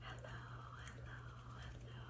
Hello, hello, hello.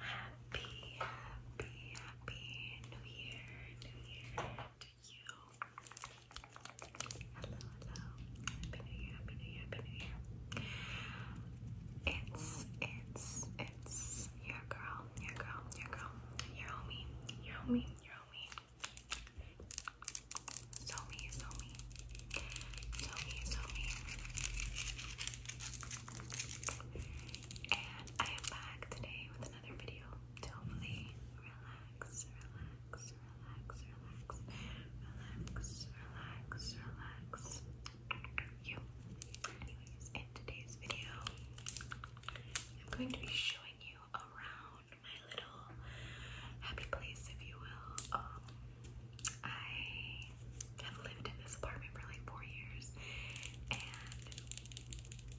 Happy, happy, happy New Year, New Year to you. Hello, hello. Happy New Year, Happy New Year, Happy New Year. It's, it's, it's your girl, your girl, your girl, your homie, your homie, your homie. So me, so me. And I am back today with another video hopefully relax, relax, relax, relax, relax, relax, relax. You. Anyways, in today's video, I'm going to be showing you around my little happy place, if you will. Um, I have lived in this apartment for like four years, and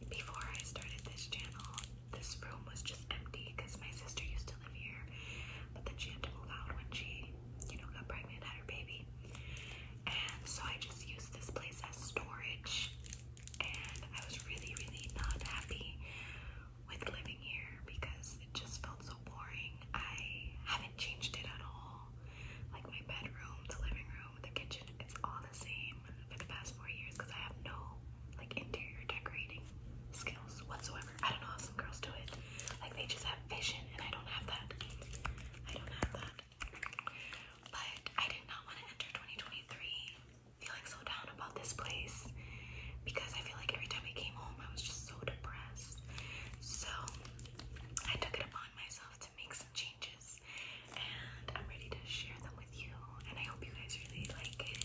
before I started this channel, this room was just empty because my sister used to live here, but then she had to move out when she, you know, got pregnant, had her baby, and so I just used this place as storage. And I was really, really not happy with living here because it just felt so boring. I haven't changed it at all. Like my bedroom, the living room, the kitchen, it's all the same for the past four years because I have no like interior decorating skills whatsoever. I don't know how some girls do it. Like they just have vision and I don't have that. I don't have that. But I did not want to enter 2023 feeling so down about this place because I feel like every time I came home, I was just so depressed. So I took it upon myself to make some changes, and I'm ready to share them with you. And I hope you guys really like it.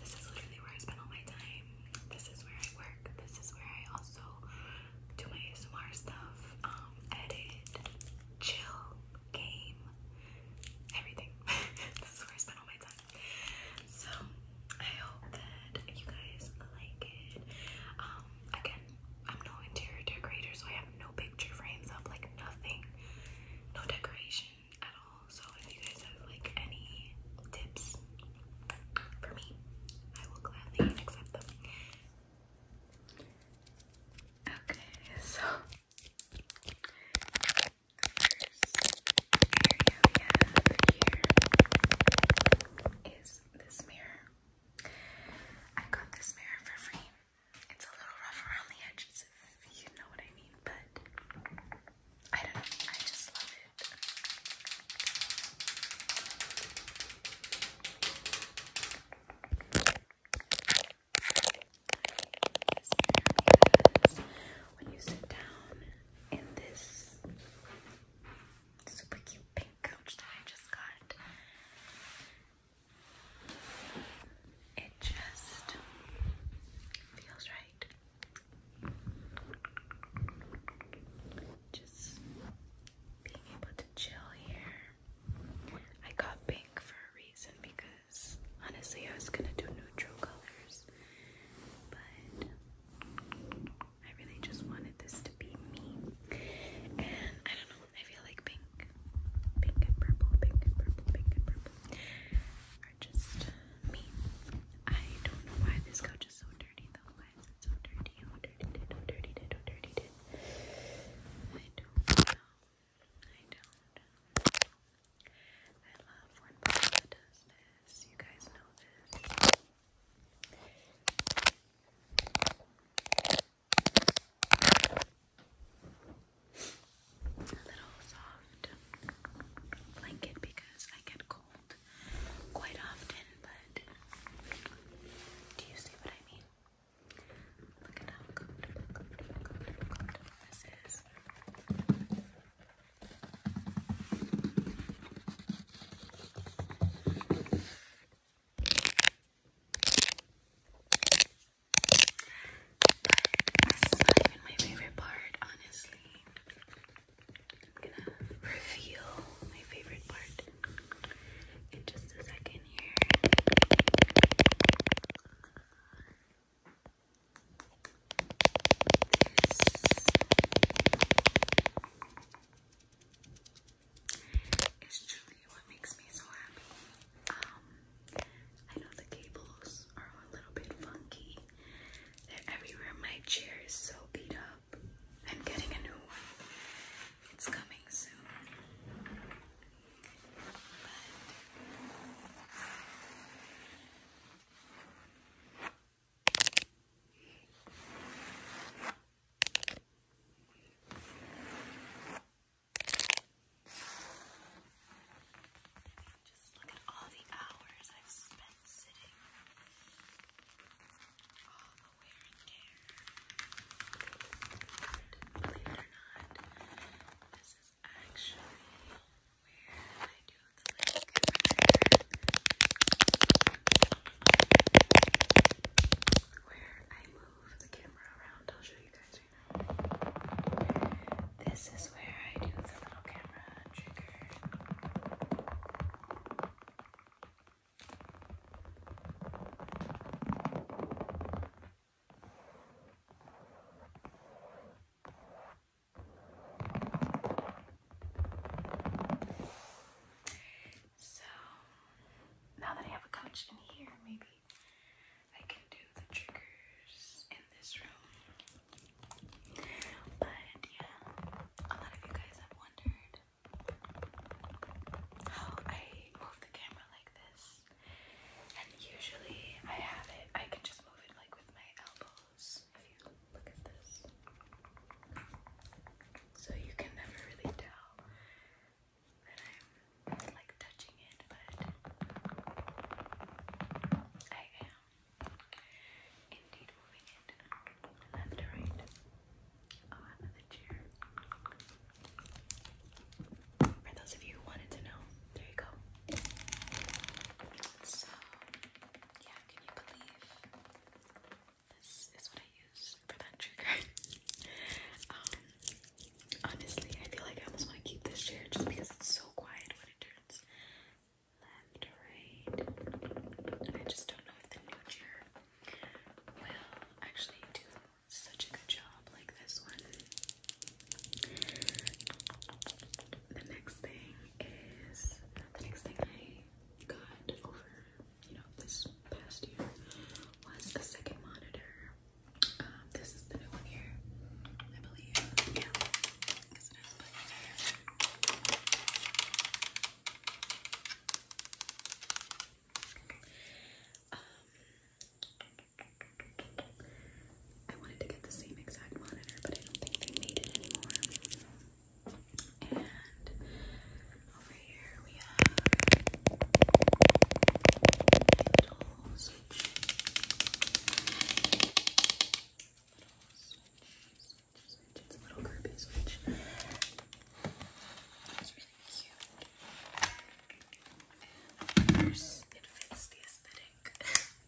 This is literally where I spend all my time. This is where I work. This is where I also do my ASMR stuff, um, edit, chill, game, everything. this is where I spend all my time. So I hope that you guys like it. Um, again, I'm no interior decorator, so I have no picture frames up, like nothing, no decoration at all. So if you guys have like any tips for me, I will gladly accept them. Okay, so area here is this mirror. I got this mirror for free. It's a little rough around the edges, if you know what I mean, but I don't know. I just love it when you sit down in this super cute pink couch that I just got, it just feels right. Just being able to chill here. I got pink for a reason because honestly, I was gonna do neutral colors, but I really just wanted this to be me. And I don't know, I feel like pink, pink and purple, pink and purple, pink and purple are just me. I don't know why this couch is so dirty though. Why is it so dirty? How dirty did? dirty did? dirty I don't know. I don't I love when Paula does this. You guys know this. little soft blanket because I get cold quite often, but do you see what I mean? Look at how comfortable this is. This is my favorite part, honestly. I'm gonna reveal my favorite part in just a second here. This is truly what makes me so happy. Um, I know the cables are a little bit funky. They're everywhere. My chair is so beat up. I'm getting a new one. It's coming soon. But just look at all the hours I've spent sitting. All the wear and tear. Believe it or not, this is actually where I do a click where I move the camera around. I'll show you guys right now. This is where I do the little camera trigger. So now that I have a couch in here, maybe I can do the triggers in this room. But yeah, a lot of you guys have wondered how I move the camera like this. And usually I have it, I can just move it like with my elbows. So you can never really tell that I'm like touching it, but I am indeed moving it another oh, chair. For those of you who wanted to know, there you go. So, yeah, can you believe this is what I use for that trigger? Um, honestly, I feel like I almost want to keep this chair just because it's so quiet when it turns left right. I just don't know if the new chair will actually do such a good job like this one the next thing is the next thing I got over, you know, this past year was a second monitor. Um, this is the new one here, I believe. Yeah, because it has buttons here. Um, I wanted to get the same exact monitor, but I don't think they made it anymore. And over here we have little Little switch, switch, switch. It's a little Kirby switch. It's really cute. it fits the aesthetic.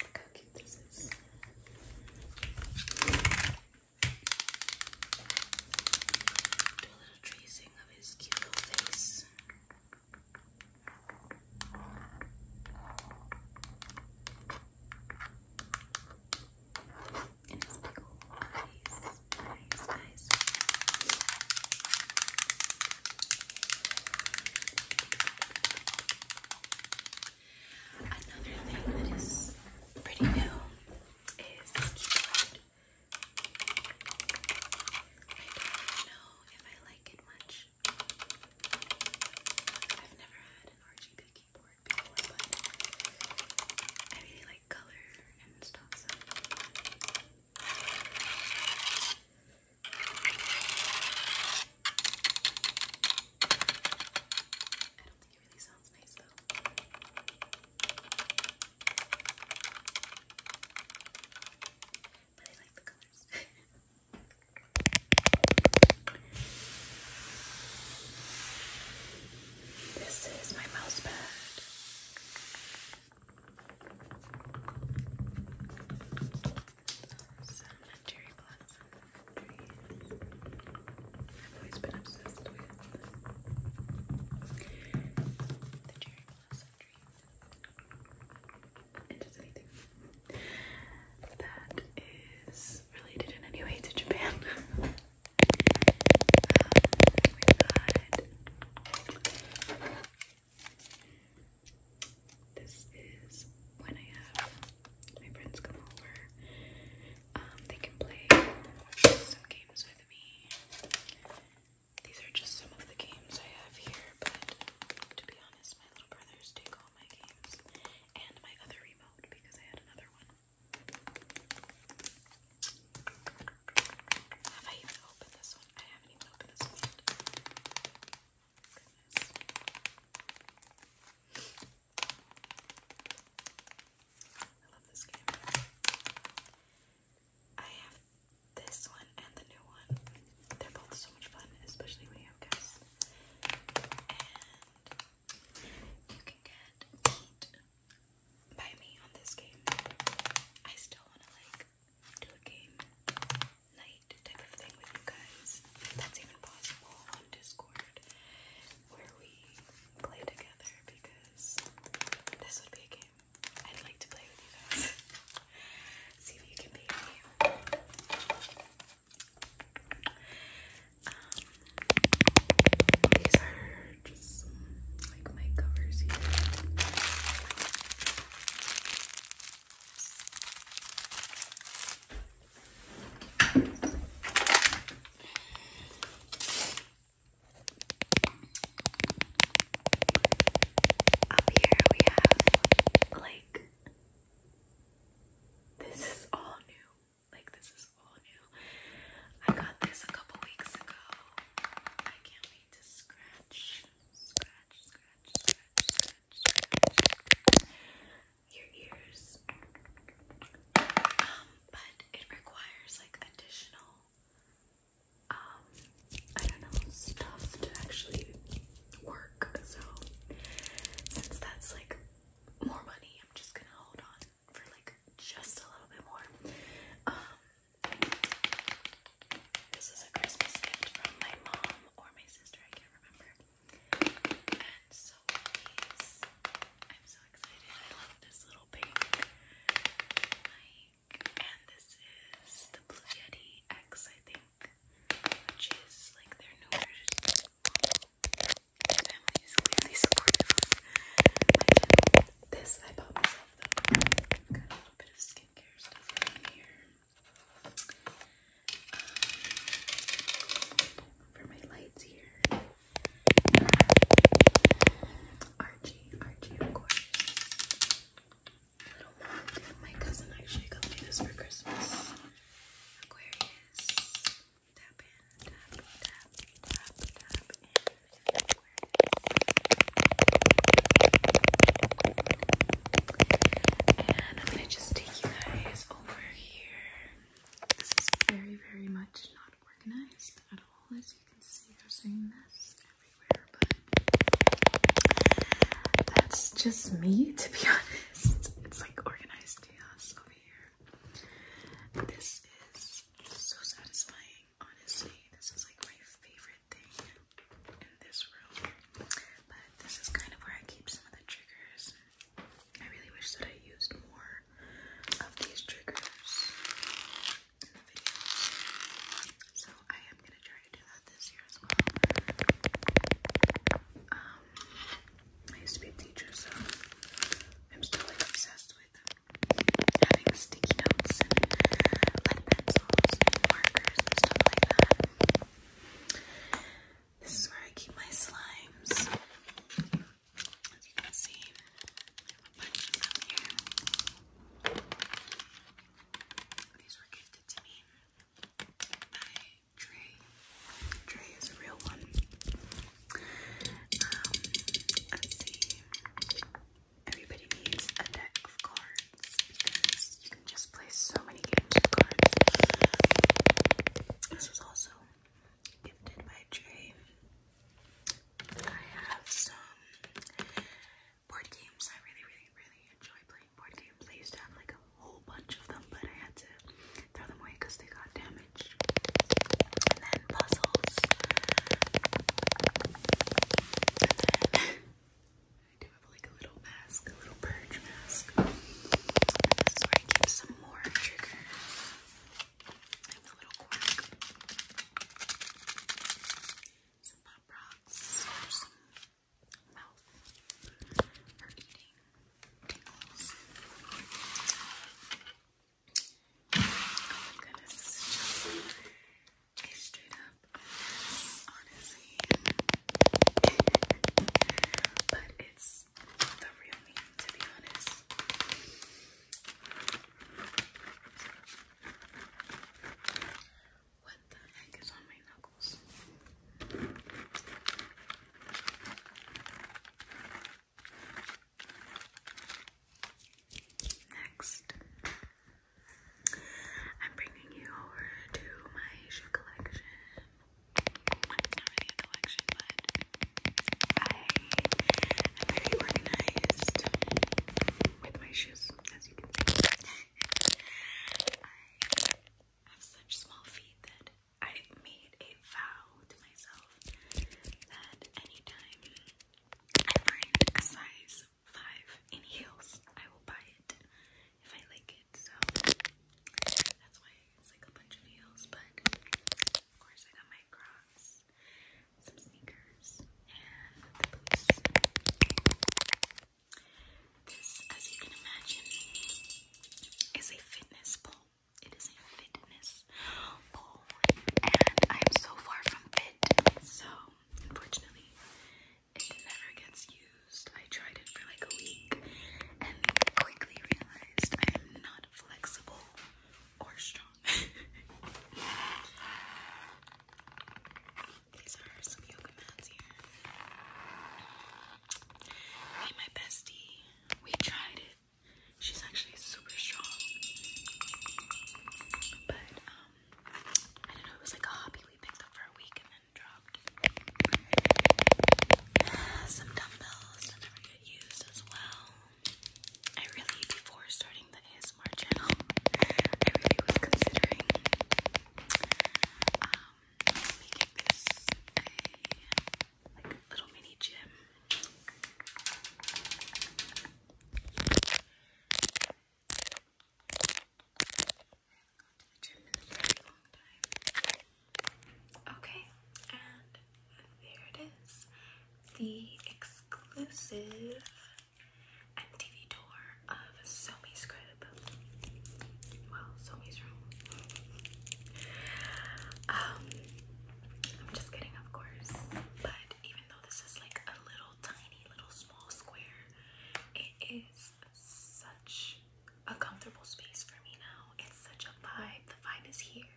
Look how cute this is. Do a little tracing of his cute little face. And his big old eyes, eyes, eyes. Another thing that is pretty new is keyboard. I don't know if I like it much. I've never had an RGB keyboard before, but I really like color and stuff. I don't think it really sounds nice though. But I like the colors. this is my mouse pad. I've always been obsessed with the cherry blossom that is related in any way to Japan. um, we've this is when I have my friends come over. Um, they can play some games with me. These are just some of the games I have here, but to be honest, my little brothers take all my games and my other remote because I had another one. Have I even opened this one? I haven't even opened this one yet. Goodness. I love this game. I have this one and the new one. They're both so much fun, especially when you have guests. And you can get beat by me on this game. I still want to like do a game night type of thing with you guys. If that's even possible on Discord where we play together because this would be a game I'd like to play with you guys. See if you can beat me. Um, these are just like my covers here. Up here we have like this is all new. Like this is all new. I got this a couple weeks ago. I can't wait to scratch, scratch, scratch scratch, scratch, your ears. Um, but it requires like additional um I don't know stuff to actually work. So since that's like more money, I'm just gonna hold on for like just a little bit more. Um, this is a Christmas gift from my mom or my sister, I can't remember. And so these, I'm so excited. I love this little pink. Like, and this is the Blue Yeti X, I think, which is like their new version. My family is clearly supportive This I bought myself Got a little bit of skincare stuff in here for my lights here. Archie, Archie, of course. My cousin actually got me this for Christmas. Aquarius. Tap tap, tap, tap, tap And I'm gonna just take you guys over here. This is very, very much not organized at all. As you can see, there's a mess everywhere, but that's just me, to be honest. It's like organized chaos over here. This is so satisfying, honestly. This is like my favorite thing in this room. This is kind of where I keep some of the triggers. I really wish that I used more of these triggers So I am gonna try to do that this year as well. Um, I used to be a teacher, so I'm still like obsessed with having sticky notes and pens, and markers and stuff like that. This is where I keep my slimes. As you can see, These were gifted to me by Trey. Trey is a real one. Um, let's see. Everybody needs a deck of cards just play so many games with cards. This was also gifted by Jay. I have some board games. I really, really, really enjoy playing board games. I used to have like a whole bunch of them, but I had to throw them away because they got damaged. And puzzles. I do have like a little mask, a little purge mask. And I keep some more triggers. I have a little quack. Some pop rocks. Some mouth for eating Oh my goodness, straight up honestly. but it's the real me, to be honest. What the heck is on my knuckles? Next, I'm bringing you over to my shoe collection not really collection, but I am very organized with my shoes, as you can see. I have such small feet that I made a vow to myself that anytime I find a size 5 in heels, I will buy it if I like it. So that's why it's like a bunch of heels. But of course, I got my Crocs, some sneakers, and the boots. This, as you can imagine, is a fitness pole. It is a fitness pole, and I am so far from fit. So unfortunately, it never gets used. I tried it for like a week and quickly realized I am not flexible or strong. These are some yoga mats here. Hey, my bestie, we tried it. She's actually super strong. But, um, I don't know, it was like a hobby we picked up for a week and then dropped some dumbbells that never get used as well. I really, before starting the ASMR channel, I really was considering um, making this a like little mini gym the Okay, and there it is. The exclusive MTV tour of Somi's crib. Well, Somi's room. um, I'm just kidding, of course. But even though this is like a little tiny, little small square, it is such a comfortable space for me now. It's such a vibe. The vibe is here.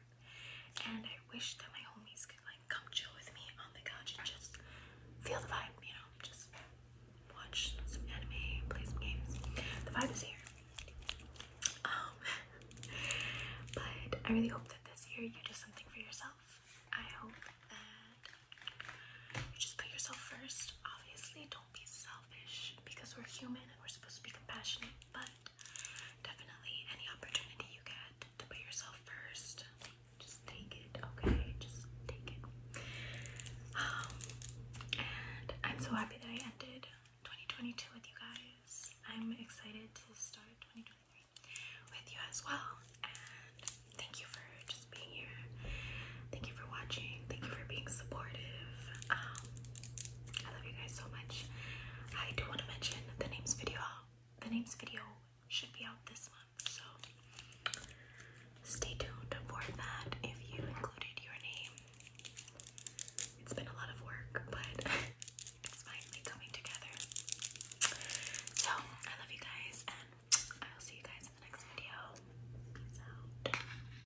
And I wish that my homies could like come chill with me on the couch and just feel the vibe, you know, just watch some anime, play some games. The vibe is here. Um, but I really hope that this year you do something for yourself. I hope that you just put yourself first. Obviously, don't be self because we're human and we're supposed to be compassionate, but definitely any opportunity you get to put yourself first, just take it, okay? Just take it. Um, and I'm so happy that I ended 2022 with you guys. I'm excited to start 2023 with you as well. And thank you for just being here Thank you for watching. Thank you for being supportive. Um, I love you guys so much. I do want to mention the names video. The names video should be out this month, so stay tuned for that. If you included your name, it's been a lot of work, but it's finally coming together. So I love you guys, and I will see you guys in the next video. Peace out.